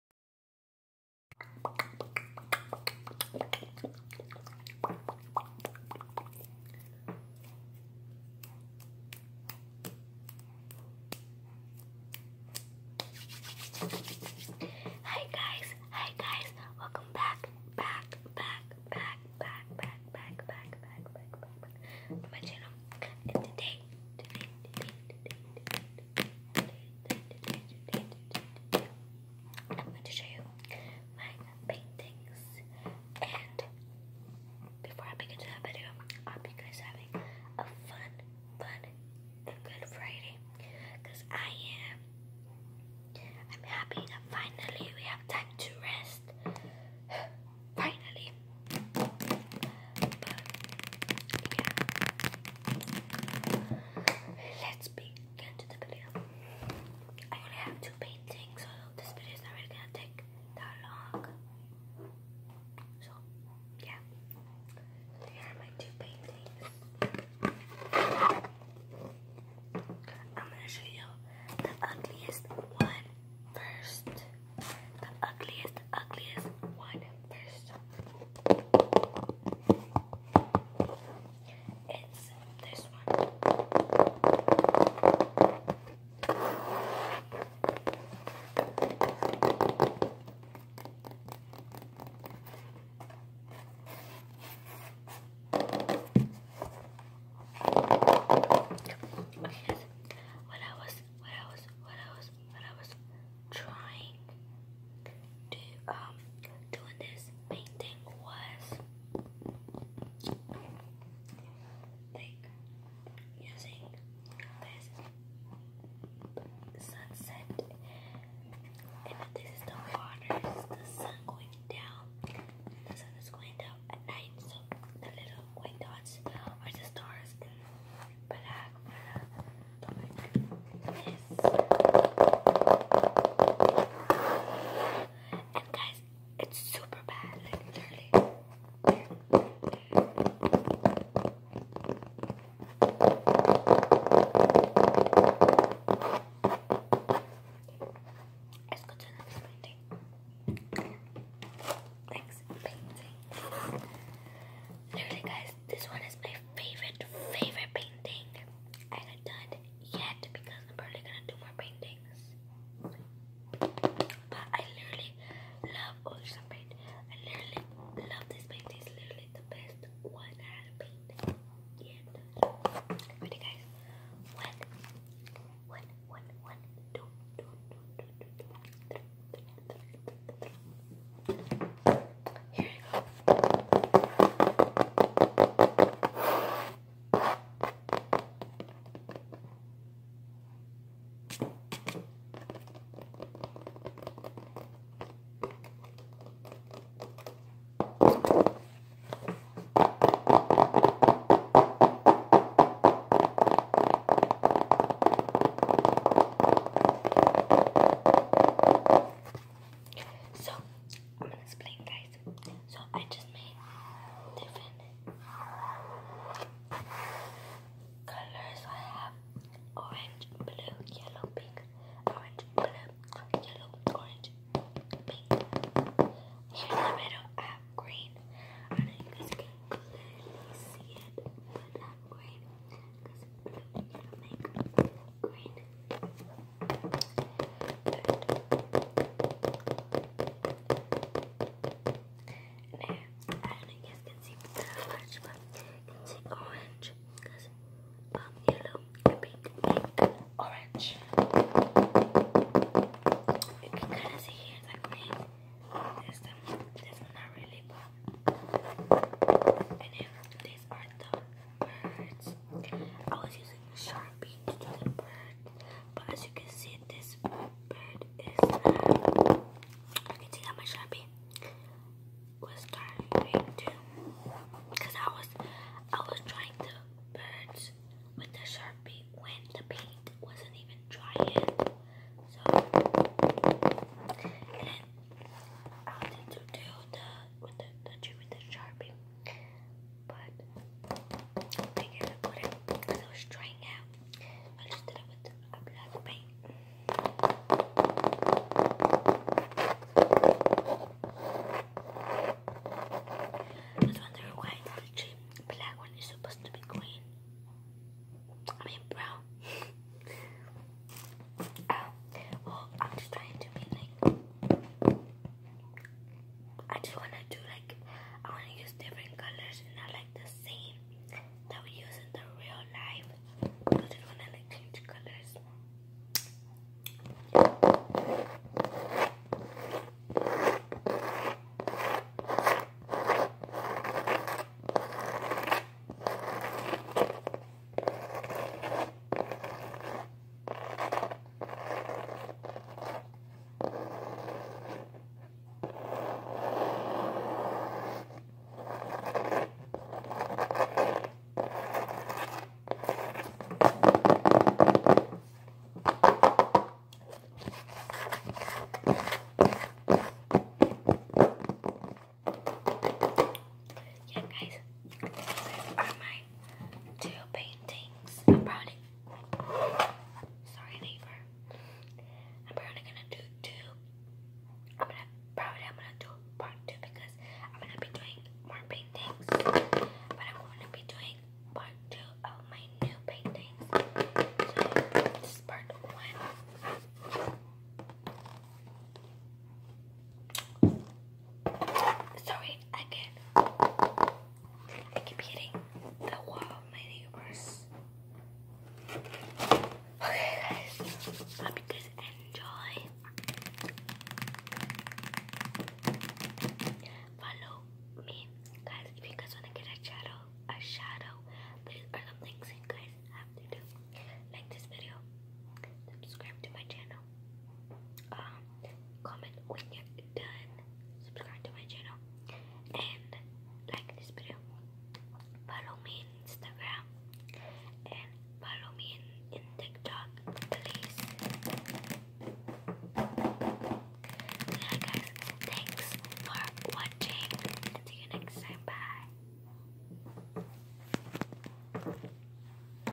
Hi guys, hi guys, welcome back, back, back, back, back, back, back, back, back, back, back, back, my channel. And today, I'm going to show you my paintings and before I begin to that video, I hope you guys are having a fun, fun, and good Friday because I am. I'm happy that finally we have time to rest. finally. But, yeah. Let's begin to the video. I only have two paintings, so this video is not really gonna take that long. So, yeah. Here are my two paintings. I'm gonna show you the ugliest one first. The ugliest, the ugliest one first. It's this one. Because when I was when I was when I was when I was trying to um doing this painting was using this sunset and this is the water, the sun going down, the sun is going down at night, the little white dots are the stars in black for the like And guys, it's super bad, Let's go to the next painting. Next painting. Literally, guys, this one is my favorite, favorite painting I haven't done yet because I'm probably gonna do more paintings. But I literally love ocean oh, paint. I literally love this painting. It's literally the best one I have painted yet. Ready, guys? One, one, one, one, two, two, two, two, two, three, three, three, three. Here you go. So I'm gonna explain guys. So I just made different colors. I have orange, blue, yellow, pink, orange, blue, yellow, orange, pink. Here in the middle, I have green. I know you guys can clearly see it, but I'm green because blue, yellow, pink, green. Good. I don't know you guys can see the but you can see orange yellow and pink, pink orange. You can kind of see here the green. not really, And then these are the birds. I was using a Sharpie to do the bird, but as you can see, this bird is. you can see how much Sharpie was starting to because I was I was trying to birds with the sharpie when the paint wasn't even dry yet. So and then I to do the with the the with the sharpie. But I figured I couldn't because I was trying out. I just did it with the a black paint. Not wondering why the black one is supposed to be green. I mean brown. oh, I'm just trying to be like. I just wanna do like I wanna use different colors and not like the same that we use in the real life because it's gonna like change colors. Yeah guys, these are my two paintings about it. Sorry, neighbor. I'm probably gonna do two. I'm gonna probably I'm gonna do part two because I'm gonna be doing more paintings, but I'm gonna be doing part two of my new paintings. this is part one. Sorry, again. I keep hitting the wall of my neighbors. Okay guys, hope you guys enjoy. Follow me. Guys, if you guys wanna get a shadow, a shadow, these are some things you guys have to do. Like this video, subscribe to my channel, um, comment when you're done, subscribe to my channel, and like this video. Follow me on Instagram, and follow me in, TikTok, please. Yeah, guys, thanks for watching. see you next time. Bye.